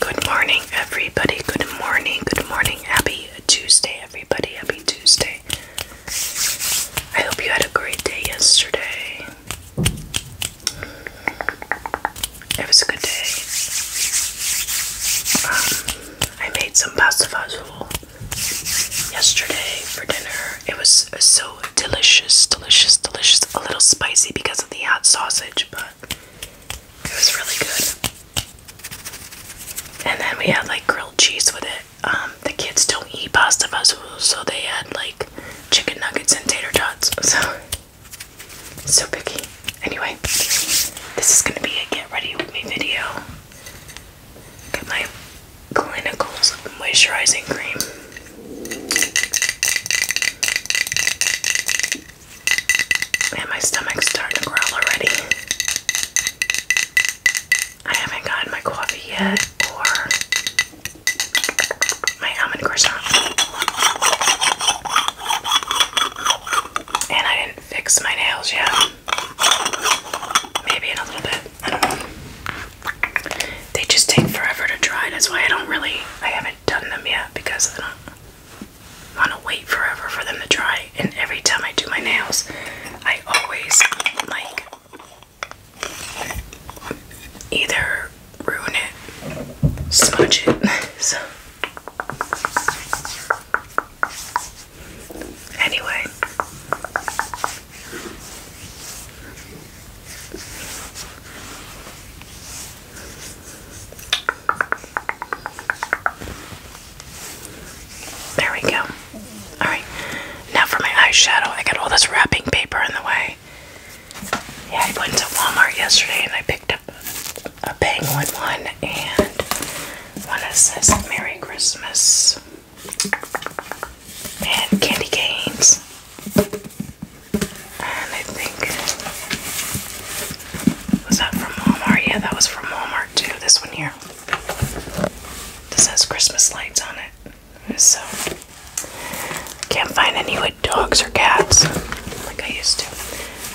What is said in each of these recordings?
Good morning, everybody. Good morning. Good morning. Happy Tuesday, everybody. Happy Tuesday. I hope you had a great day yesterday. It was a good day. Um, I made some pasta fazool yesterday for dinner. It was so delicious, delicious, delicious. A little spicy because of the hot sausage, but it was really good. And then we had like grilled cheese with it. Um, the kids don't eat pasta fazool, so they had like chicken nuggets and tater tots. So, so picky. Anyway, this is gonna be a get ready with me video. Get my clinicals moisturizing cream. And my stomach's starting to growl already. I haven't gotten my coffee yet or my almond croissant. And I didn't fix my nails yet. Maybe in a little bit. I don't know. They just take forever to dry. That's why I don't really, I haven't have done them yet because I don't want to wait forever for them to dry. And every time I do my nails, I always like either ruin it, smudge it. so, anyway. There we go. Alright, now for my eyeshadow, I got all this wrapping paper in the way. Yeah, I went to Walmart yesterday and I picked up a penguin one and one that says Merry Christmas and candy canes. And I think was that from Walmart? Yeah, that was from Walmart too. This one here. This has Christmas lights on it. So can't find any with dogs or cats like I used to.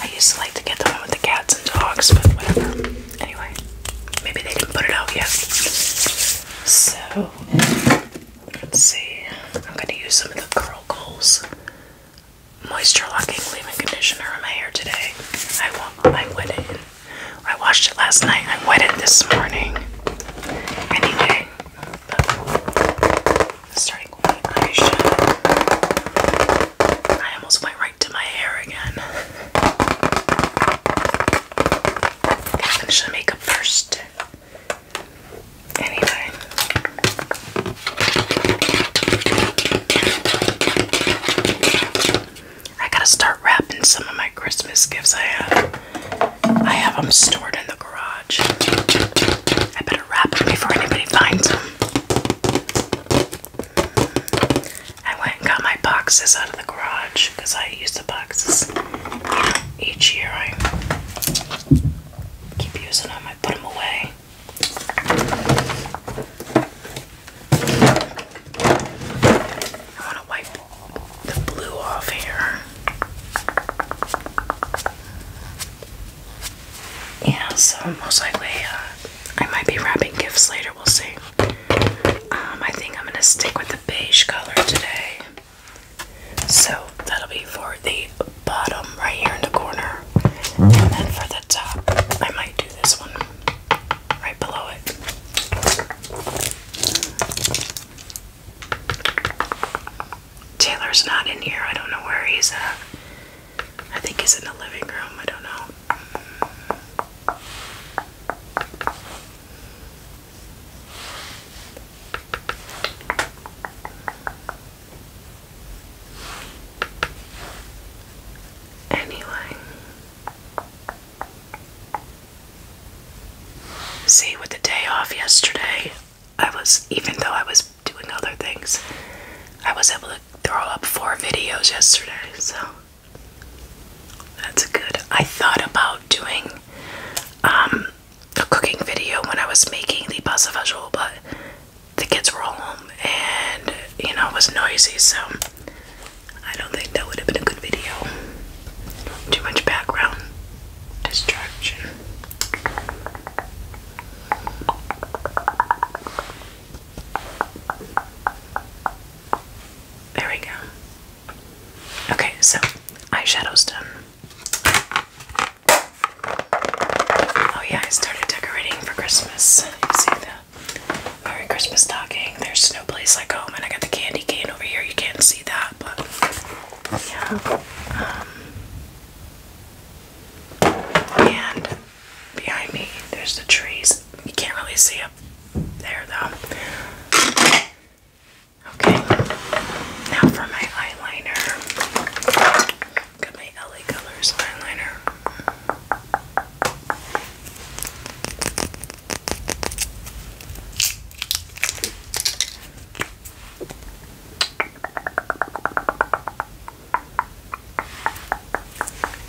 I used to like to get the one with the cats and dogs, but whatever. Anyway, maybe they didn't put it out yet. So Let's see. I'm going to use some of the Curl Goals Moisture Locking Leave-In Conditioner on my hair today. I wet it. I washed it last night. I wet it this morning. Anyway, starting with my I almost went right to my hair again. Finish the makeup first. Anyway. I gotta start wrapping some of my Christmas gifts I have. I have them stored in the garage. I better wrap them before anybody finds them. I went and got my boxes out of the garage because I use the boxes each year. I keep using them, I put them away. I want to wipe the blue off here. Yeah, so most likely uh, I might be wrapping gifts later, we'll see. Um, I think I'm going to stick with the beige color today. So that'll be for the bottom right here in the corner. And then for the top, I might do this one right below it. Taylor's not in here. I don't know where he's at. I think he's in the living room. I don't know. Anyway, see, with the day off yesterday, I was, even though I was doing other things, I was able to throw up four videos yesterday, so that's good. I thought about doing um, a cooking video when I was making the pasta fagioli, but the kids were all home and you know it was noisy, so I don't think that would have been a good video. Too much background distraction. There we go. Okay, so eyeshadow's done. Oh yeah, I started decorating for Christmas. see the Merry Christmas stocking. There's no place like home, and I got the candy cane over here. You can't see that, but yeah. Um, and behind me, there's the trees. You can't really see them. There though. Okay. Now for my eyeliner. Got my LA Colors eyeliner.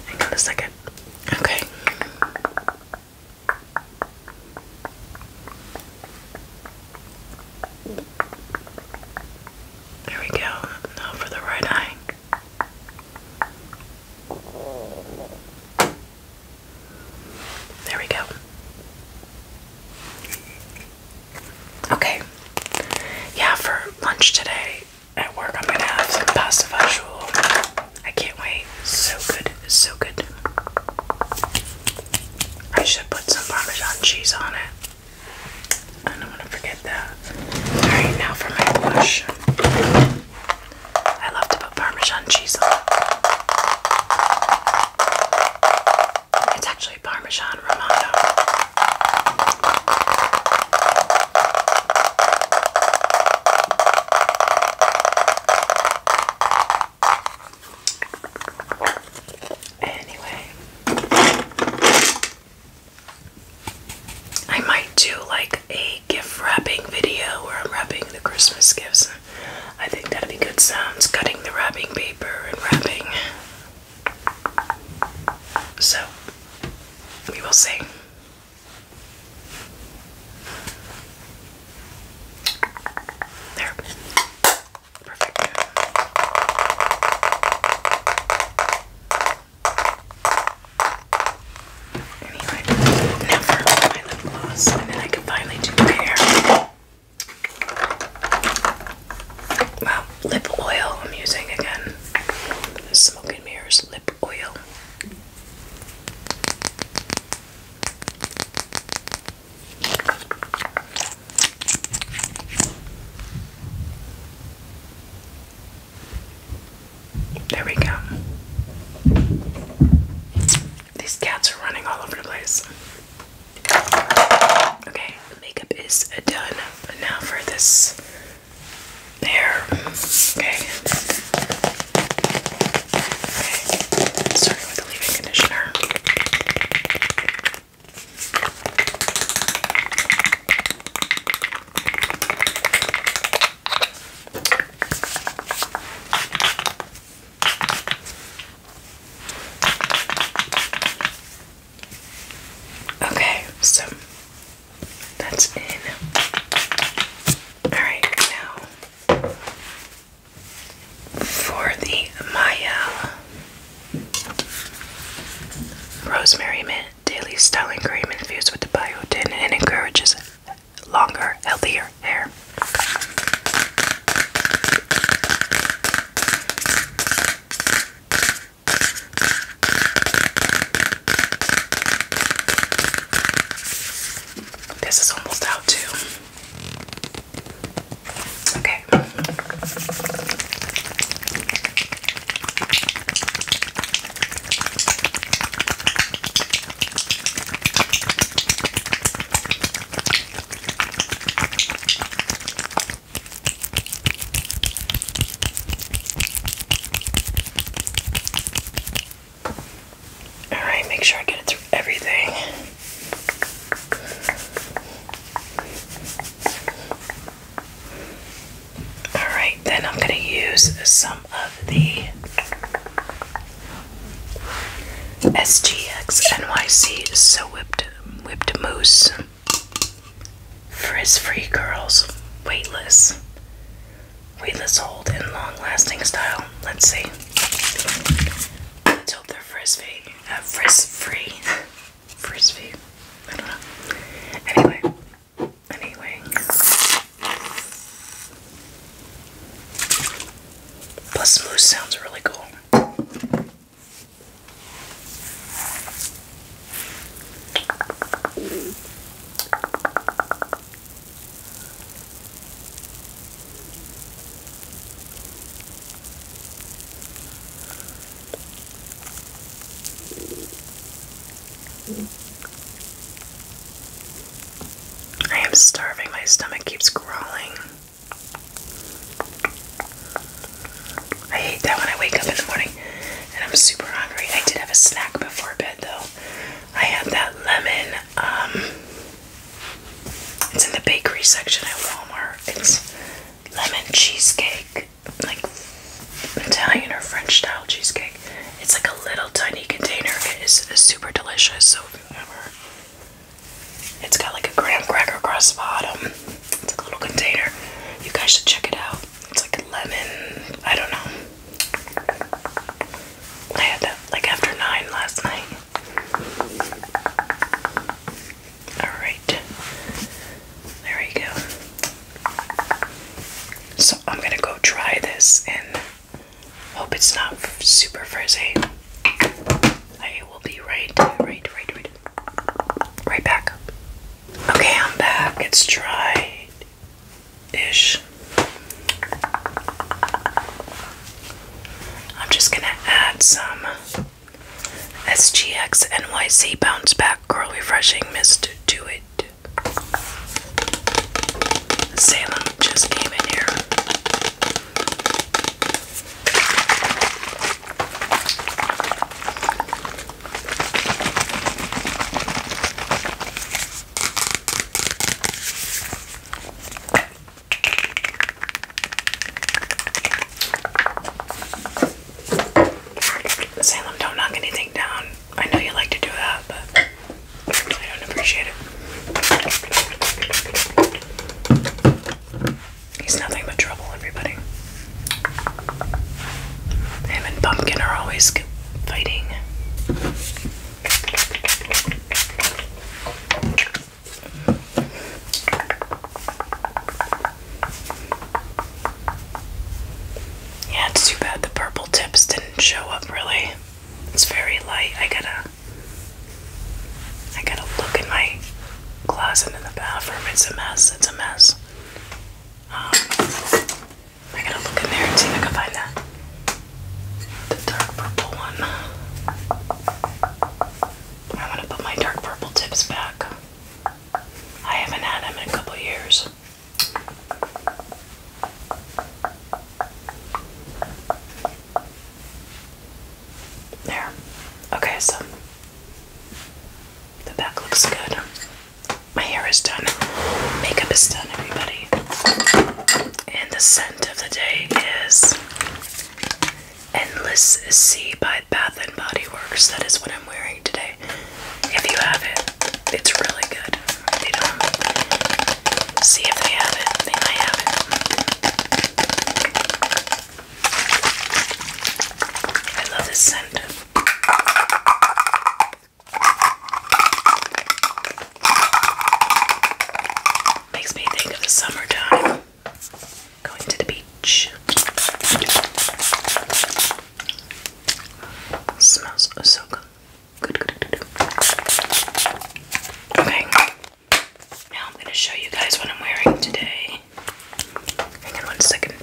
Hang on a second. Okay. There we go. Now for the right eye. There we go. Okay. Yeah, for lunch today, at work I'm gonna have some pasta fagioli. I can't wait. So good, so good. I should put some Parmesan cheese on it. I don't want to forget that. Alright, now for my blush. I love to put Parmesan cheese on. It's actually Parmesan Romano. Anyway, I might do like a gift wrapping video where I'm wrapping the Christmas gifts. I think that'd be good sounds cutting the wrapping paper and wrapping. So, we will see. There. Perfect. Anyway, now my lip gloss, and then I can finally do my hair. Well, lip oil I'm using again. Smoking Mirrors lip oil. There we go. These cats are running all over the place. Okay, makeup is done. now for this there. Okay. Okay. with the leave-in conditioner. Okay, so that's in. Alright, now for the Maya Rosemary Mint Daily Styling Cream infused with biotin and encourages longer, healthier hair. This is almost out too. Okay. Alright, make sure I get through everything. Alright, then I'm going to use some of the SGX NYC So Whipped Whipped Mousse. Frizz free curls, weightless, weightless hold, and long lasting style. Let's see. Let's hope they're uh, frizz free. frizz free. frizz free. I don't know. Anyway. Anyway. Plus, smooth sounds really cool. I am starving, my stomach keeps growling. I hate that when I wake up in the morning and I'm super hungry. I did have a snack before bed though. I had that lemon, um, it's in the bakery section at Walmart. It's lemon cheesecake, like Italian or French style cheesecake. It's like a little tiny container. It is super delicious. So it's got like a graham cracker across the bottom. It's a little container. You guys should check it out. It's like a lemon. I don't know. I had that like after nine last night. All right. There we go. So I'm gonna go try this and hope it's not super frizzy. I will be right, right, right, right. Right back. Okay, I'm back. It's dry ish. I'm just going to add some SGX NYC Bounce Back Curl Refreshing Mist to it. Salem just came in here. Salem, don't knock anything down. I know you like to do that, but I don't appreciate it. He's nothing but trouble, everybody. Him and Pumpkin are always fighting. Yeah, it's too bad the purple tips didn't show up really. It's very light. I gotta I gotta look in my closet in the bathroom. It's a mess. It's a mess. Um, I gotta look in there and see if I can find that. The dark purple one. I want to put my dark purple tips back. I haven't had them in a couple years. There. Okay, so the back looks good. My hair is done. Makeup is done, everybody. And the scent of the day is Endless Sea by Bath and Body Works. That is what I'm wearing today. If you have it, it's really good. see if they have it. They have it. I love this scent. Makes me think of the summertime. Going to the beach. Smells so good. Okay. Now I'm going to show you guys what I'm wearing today. Hang on one second.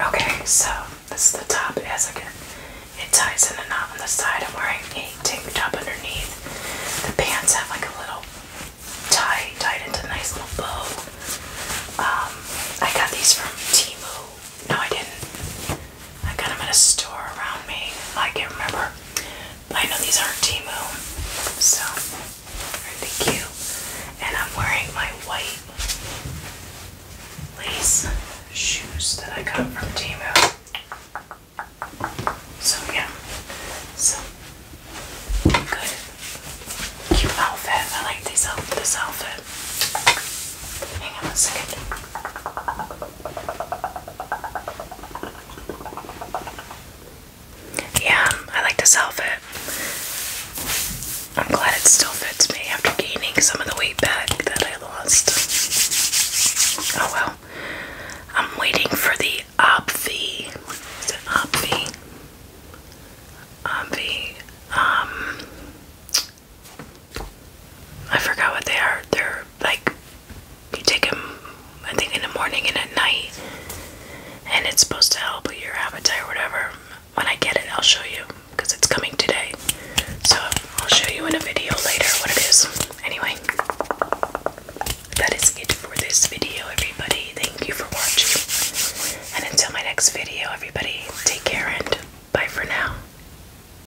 Okay, so this is the top as I get it ties in a knot on the side. I'm wearing a tank top underneath. The pants have like a little tie tied into a nice little bow. Um, I got these from Timu. No, I didn't. I got them at a store around me. I can't remember. I know these aren't Timu, so they are cute? And I'm wearing my white lace shoes that I got from Timu. So yeah, so good, cute outfit. I like this outfit. This outfit. Hang on a second. Yeah, I like to self it. I'm glad it still fits me after gaining some of the weight back that I lost. Oh well. I'm waiting for the Obvi. Is it Obvi? Obvi. Um I forgot what they are. They're like you take them, I think, in the morning and at night, and it's supposed to help with your appetite or whatever. When I get it, I'll show you because it's coming today. So I'll show you in a video later what it is. Anyway, that is it for this video, everybody. Thank you for watching, and until my next video, everybody, take care and bye for now.